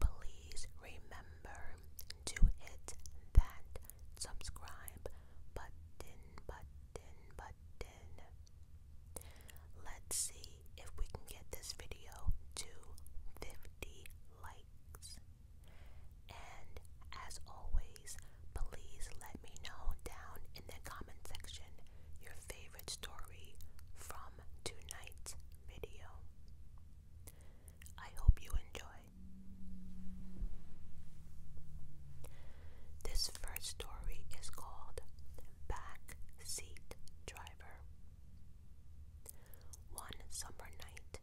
Please remember to hit that subscribe button, button, button. Let's see if we can get this video to 50 likes. And as always, please let me know down in the comment section your favorite story from tonight's video. I hope you enjoy. This first story is called Back Seat Driver. One summer night,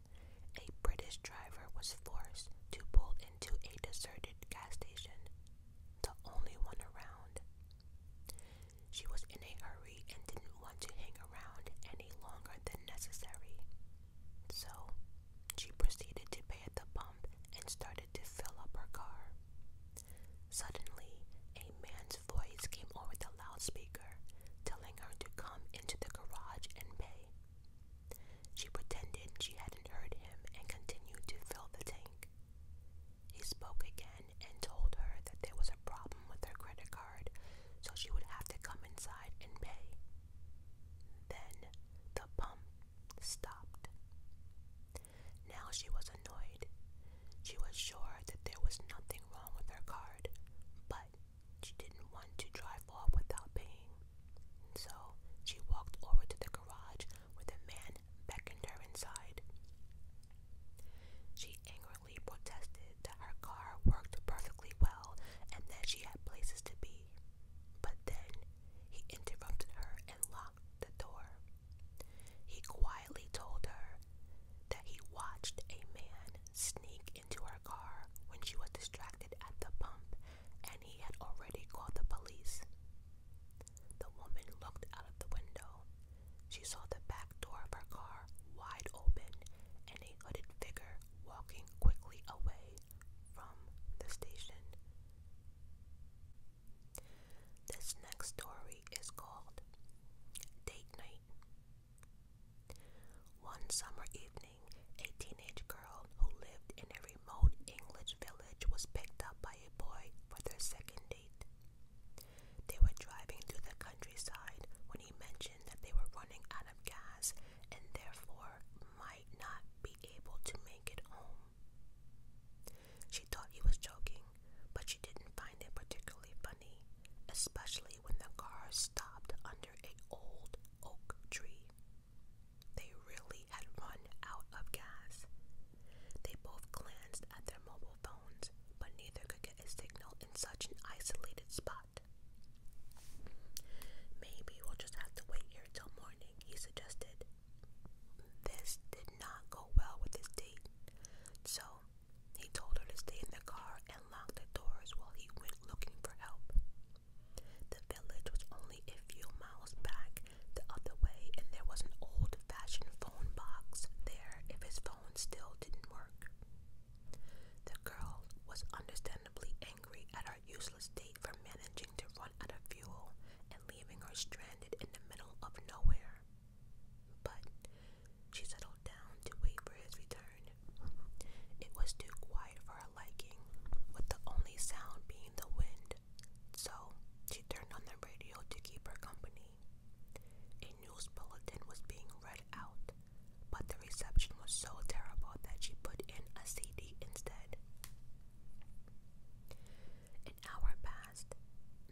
a British driver was forced to pull into a deserted gas station, the only one around she was in a hurry and didn't want to hang around any longer than necessary. So, she proceeded to pay at the pump and started to fill up her car. Suddenly, a man's voice came over the loudspeaker, telling her to come into the garage and pay. She pretended she hadn't heard him and continued to fill the tank. He spoke again and told her that there was a problem with her credit card, so she would have to come inside and pay. Then the pump stopped. Now she was annoyed. She was sure that there was nothing wrong with her card, but she didn't want to drive off without paying. So she walked over to the garage with the man beckoned her inside. She angrily protested that her car worked perfectly well and that she had places to be. But then he interrupted her and locked the door. He quietly told her that he watched a man sneak into her car when she was distracted at the pump and he had already called the police. The woman looked out of the window. She saw the back door of her car wide open and a hooded figure walking quickly away from the station. This next story is called Date Night. One summer evening, a teenage girl who lived in every remote English village was picked up by a boy for their second date. They were driving through the countryside when he mentioned that they were running out of gas and therefore might not be able to make it home. She thought he was joking, but she didn't find it particularly funny, especially when the car stopped under an old oak tree. They really had run out of gas. They both glanced at their mobile phones, but neither could get a signal in such an isolated spot. Maybe we'll just have to wait here till morning, he suggested. This did not go well with his date, so he told her to stay in the car and lock the doors while he went looking for help village was only a few miles back the other way, and there was an old fashioned phone box there if his phone still didn't work. The girl was understandably angry at her useless state for managing to run out of fuel and leaving her stranded in the middle of nowhere. But she settled down to wait for his return. It was too quiet for her liking, with the only sound being the wind so she turned on the radio to keep her company. A news bulletin was being read out, but the reception was so terrible that she put in a CD instead. An hour passed,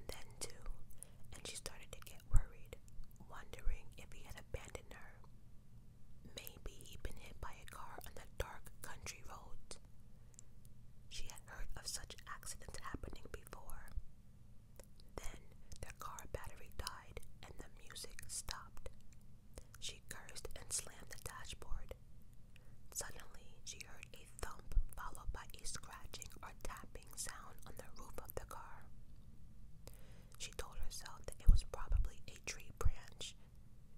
then two, and she started to get worried, wondering if he had abandoned her. Maybe he'd been hit by a car on the dark country road. She had heard of such accidents happening before. Then their car battery died and the music stopped. She cursed and slammed the dashboard. Suddenly, she heard a thump followed by a scratching or tapping sound on the roof of the car. She told herself that it was probably a tree branch.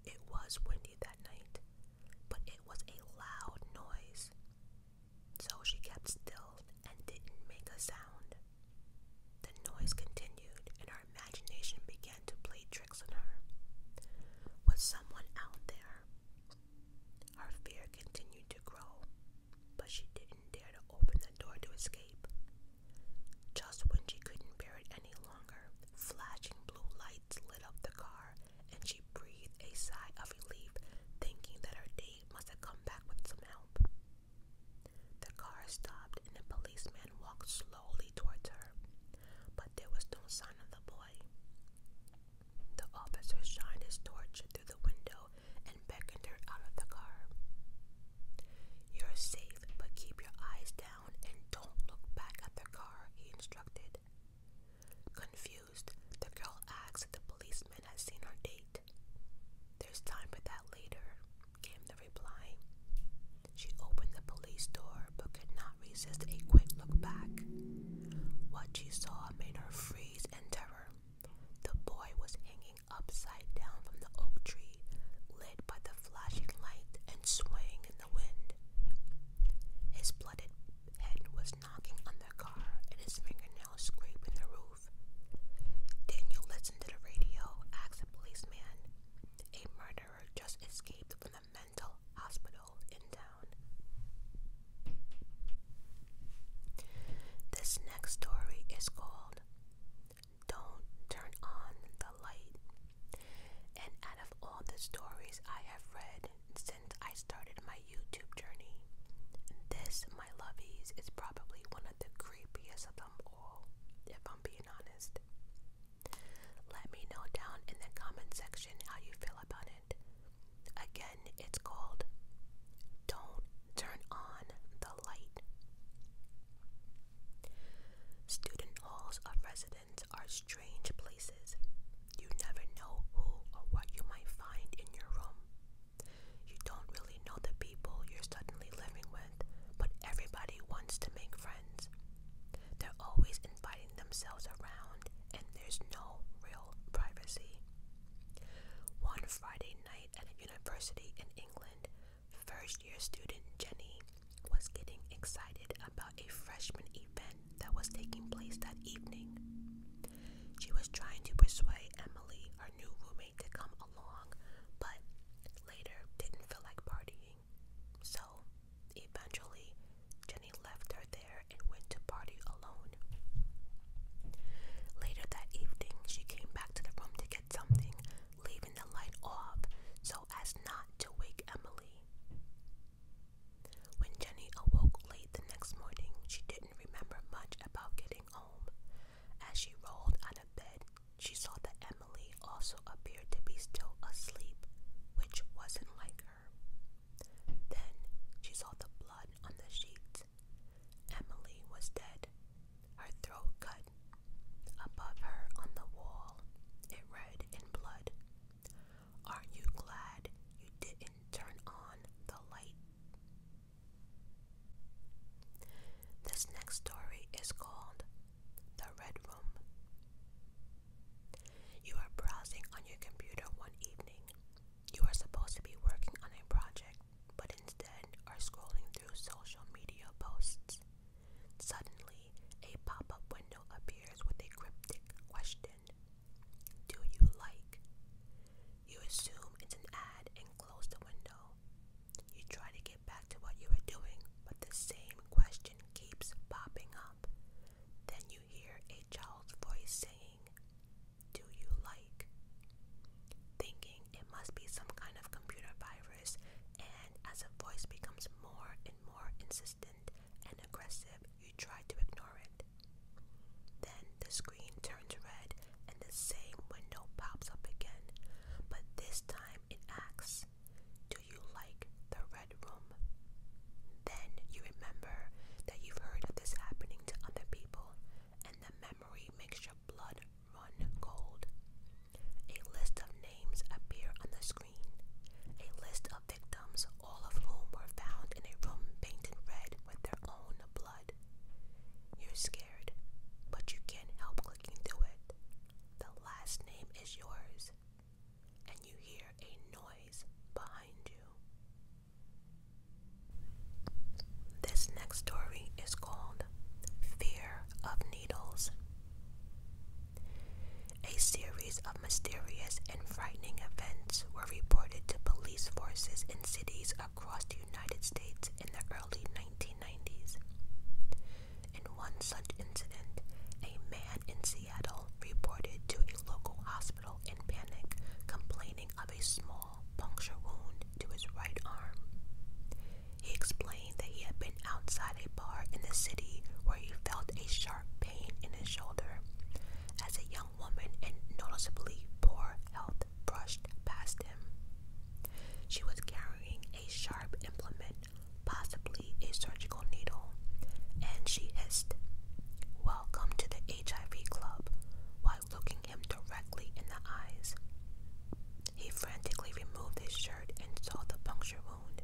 It was windy that night, but it was a loud noise. So she kept still and didn't make a sound. The noise continued, and her imagination began to play tricks on her. Was someone out there? Her fear continued to grow, but she didn't dare to open the door to escape. Just when she couldn't bear it any longer. Flashing blue lights lit up the car, and she breathed a sigh of relief, thinking that her date must have come back with some help. The car stopped, and a policeman walked slowly towards her, but there was no sign of the boy. The officer shined his torch through the window and beckoned her out of the car. You're safe, but keep your eyes down and don't look back at their car, he instructed. Confused, the girl asked the policeman had seen our date. There's time for that later, came the reply. She opened the police door but could not resist a quick look back. What she saw made her freeze in terror. The boy was hanging upside down from the oak tree, lit by the flashing light and swaying in the wind. His blooded head was knocking on the car and his fingernails scraping the roof. Daniel listened to the radio, asked the policeman. A murderer just escaped from the mental hospital in town. This next story is called don't turn on the light. And out of all the stories I have read since I started my YouTube journey, this, my lovies, is probably one of the creepiest of them all, if I'm being honest. Let me know down in the comment section how you feel about it. Again, it's called Don't Turn On the Light. Student halls of residence are strange places. You never know who or what you might find in your room. You don't really know the people you're suddenly living with, but everybody wants to make friends. They're always inviting themselves around, and there's no real privacy. One Friday night at a university in England, First year student Jenny was getting excited about a freshman event that was taking place that evening. She was trying to persuade Emily, her new roommate, to come along, but later didn't feel like partying. So, eventually, Jenny left her there and went to party alone. Later that evening, she came back to the room to get something, leaving the light off so as not to wake Emily. When Jenny awoke late the next morning, she didn't remember much about getting home. As she rolled out of bed, she saw that Emily also appeared to be still asleep, which wasn't like her. Then she saw the blood on the sheets. Emily was dead, her throat cut Above her on the wall, it read in blood. Aren't you glad you didn't turn on the light? This next story is called The Red Room. You are browsing on your computer one evening. You are supposed to be working on a project but instead are scrolling through social media posts. Suddenly, a pop up window appears with a cryptic question Do you like? You assume it's an ad and close the window. You try to get back to what you were doing, but the same question keeps popping up. Then you hear a child's voice saying, Do you like? thinking it must be some kind of computer virus, and as a voice becomes more and more insistent and aggressive, you try to ignore it. Then the screen turns red and the same window pops up again, but this time it asks, Do you like the red room? Then you remember that you've heard of this happening to other people, and the memory makes you blood run cold. A list of names appear on the screen. A list of victims, all of whom were found in a room painted red with their own blood. You're scared, but you can't help looking through it. The last name is yours, and you hear a noise behind you. This next story is called Fear of Needles. A series of mysterious and frightening events were reported to police forces in cities across the United States in the early 1990s. In one such incident, a man in Seattle reported to a local hospital in panic, complaining of a small puncture wound to his right arm. He explained that he had been outside a bar in the city where he felt a sharp pain in his shoulder as a young woman in noticeably poor health brushed past him. She was carrying a sharp implement, possibly a surgical needle, and she hissed, Welcome to the HIV Club, while looking him directly in the eyes. He frantically removed his shirt and saw the puncture wound.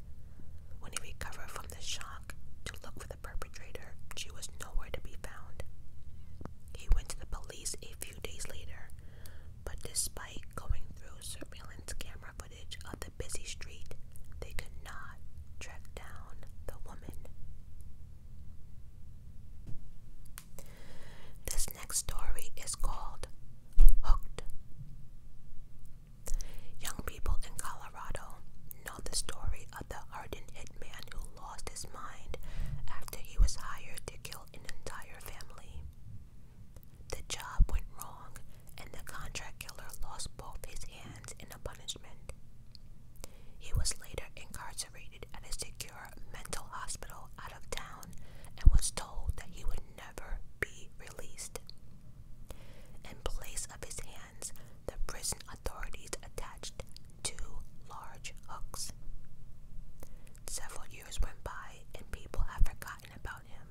When he recovered from the shock to look for the perpetrator, she was nowhere to be found. He went to the police a few days later, but despite going through surveillance camera footage of the busy street, they could not track down the woman. This next story is called Hooked. Young people in Colorado know the story of the hardened hitman who lost his mind after he was hired to kill an entire family. The job went wrong, and the contract killer lost both his hands in a punishment. He was later incarcerated incarcerated at a secure mental hospital out of town and was told that he would never be released. In place of his hands, the prison authorities attached two large hooks. Several years went by and people had forgotten about him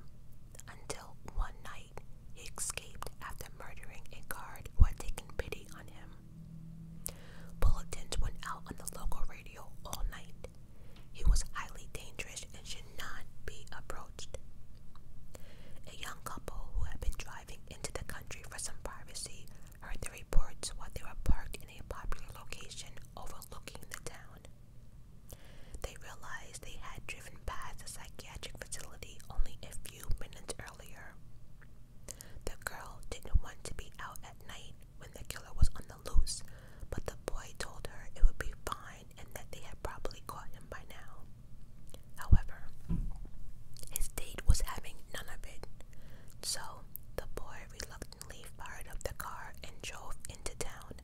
until one night he escaped after murdering a guard who had taken pity on him. Bulletins went out on the local radio all night. He was highly dangerous and should not be approached. A young couple who had been driving into the country for some privacy heard the reports while they were parked in a popular location overlooking the town. They realized they had driven past a psychiatric facility only a few minutes earlier. The girl didn't want to be out at night when the killer was on the loose, but the boy told her it would be fine and that they had probably caught him by now. However, his date was having none of it, so the boy reluctantly fired up the car and drove into town,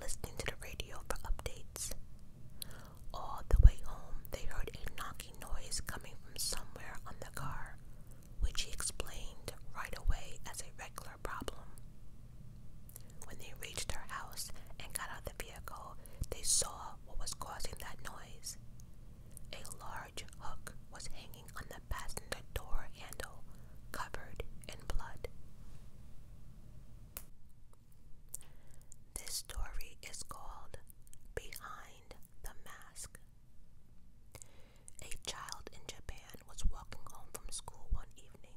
listening to the radio for updates. All the way home, they heard a knock noise coming from somewhere on the car, which he explained right away as a regular problem. When they reached her house and got out of the vehicle, they saw what was causing that noise. A large hook was hanging on the passenger door handle, covered in blood. This story is called Behind the mask. A child in Japan was walking home from school one evening.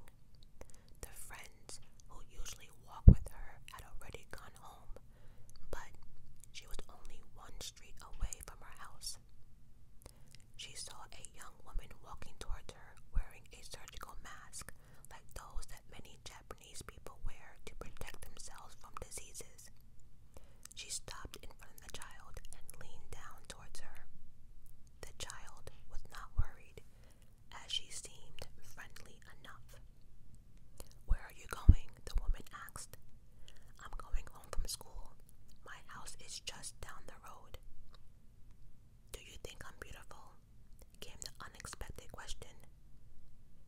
The friends who usually walk with her had already gone home, but she was only one street away from her house. She saw a young woman walking towards her wearing a surgical mask like those that many Japanese Japanese people wear to protect themselves from diseases. She stopped in front of the child and leaned down towards her. The child was not worried, as she seemed friendly enough. Where are you going? the woman asked. I'm going home from school. My house is just down the road. Do you think I'm beautiful? came the unexpected question.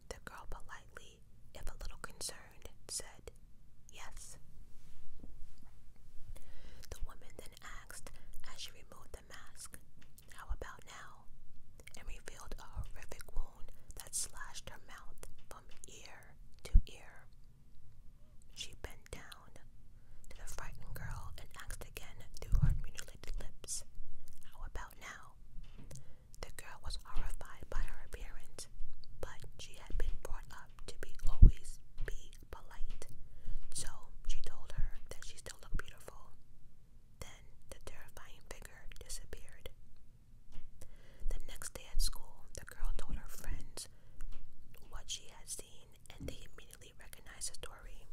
The girl politely, if a little concerned, said, Yes. The woman then asked as she removed the mask, How about now? and revealed a horrific wound that slashed her mouth from ear to ear. She bent down to the frightened girl and asked again through her mutilated lips, How about now? The girl was horrified by her appearance, but she had been brought up to be always be polite, so she told her that she still looked beautiful. Then the terrifying figure disappeared. The next day at school, the girl told her friends what she had seen, and they immediately recognized the story.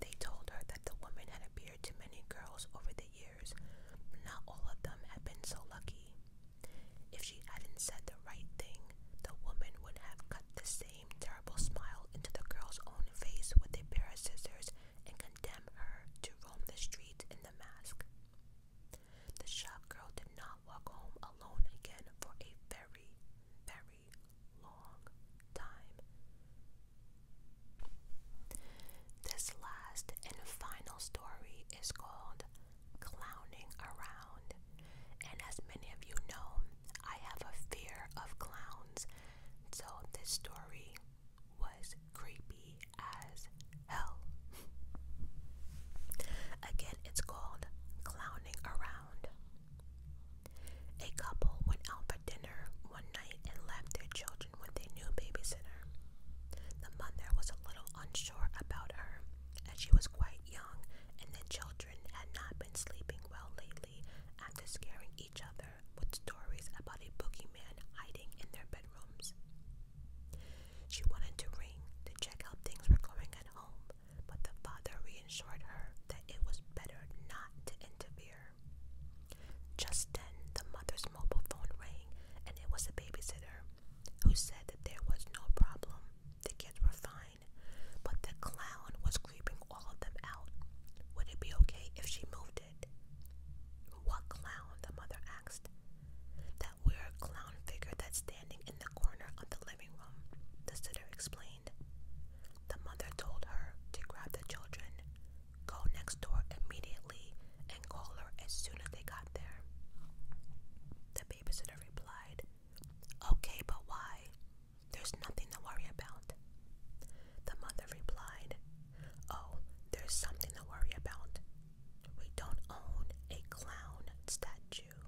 They told her that the woman had appeared to many girls over the years, but not all of them had been so lucky. If she hadn't said the right thing, the woman would have cut the same terrible smile into the girl's own face with a pair of scissors and condemned her to roam the streets in the mask. The shop girl did not walk home alone again for a very, very long time. This last and final story is called Clowning Around, and as many of you know, I have a fear of clowns, so this story was creepy as hell. Again, it's called Clowning Around. A couple went out for dinner one night and left their children with a new babysitter. The mother was a little unsure about her, as she was quite young, and the children had not been sleeping well lately after scaring each other with stories about a boogeyman hiding in their bedrooms. She wanted to ring to check how things were going at home, but the father reassured her that it was better not to interfere. Just then, the mother's mobile phone rang, and it was the babysitter, who said that there was no problem. The kids were fine, but the clown was creeping all of them out. Would it be okay if she moved it? What clown? the mother asked. That weird clown figure that's standing in the corner of the living room, the sitter explained. The mother told her to grab the children, go next door immediately, and call her as soon as they got there. The babysitter replied, Okay, but why? There's nothing to worry about. The mother replied, Oh, there's something to worry about. We don't own a clown statue.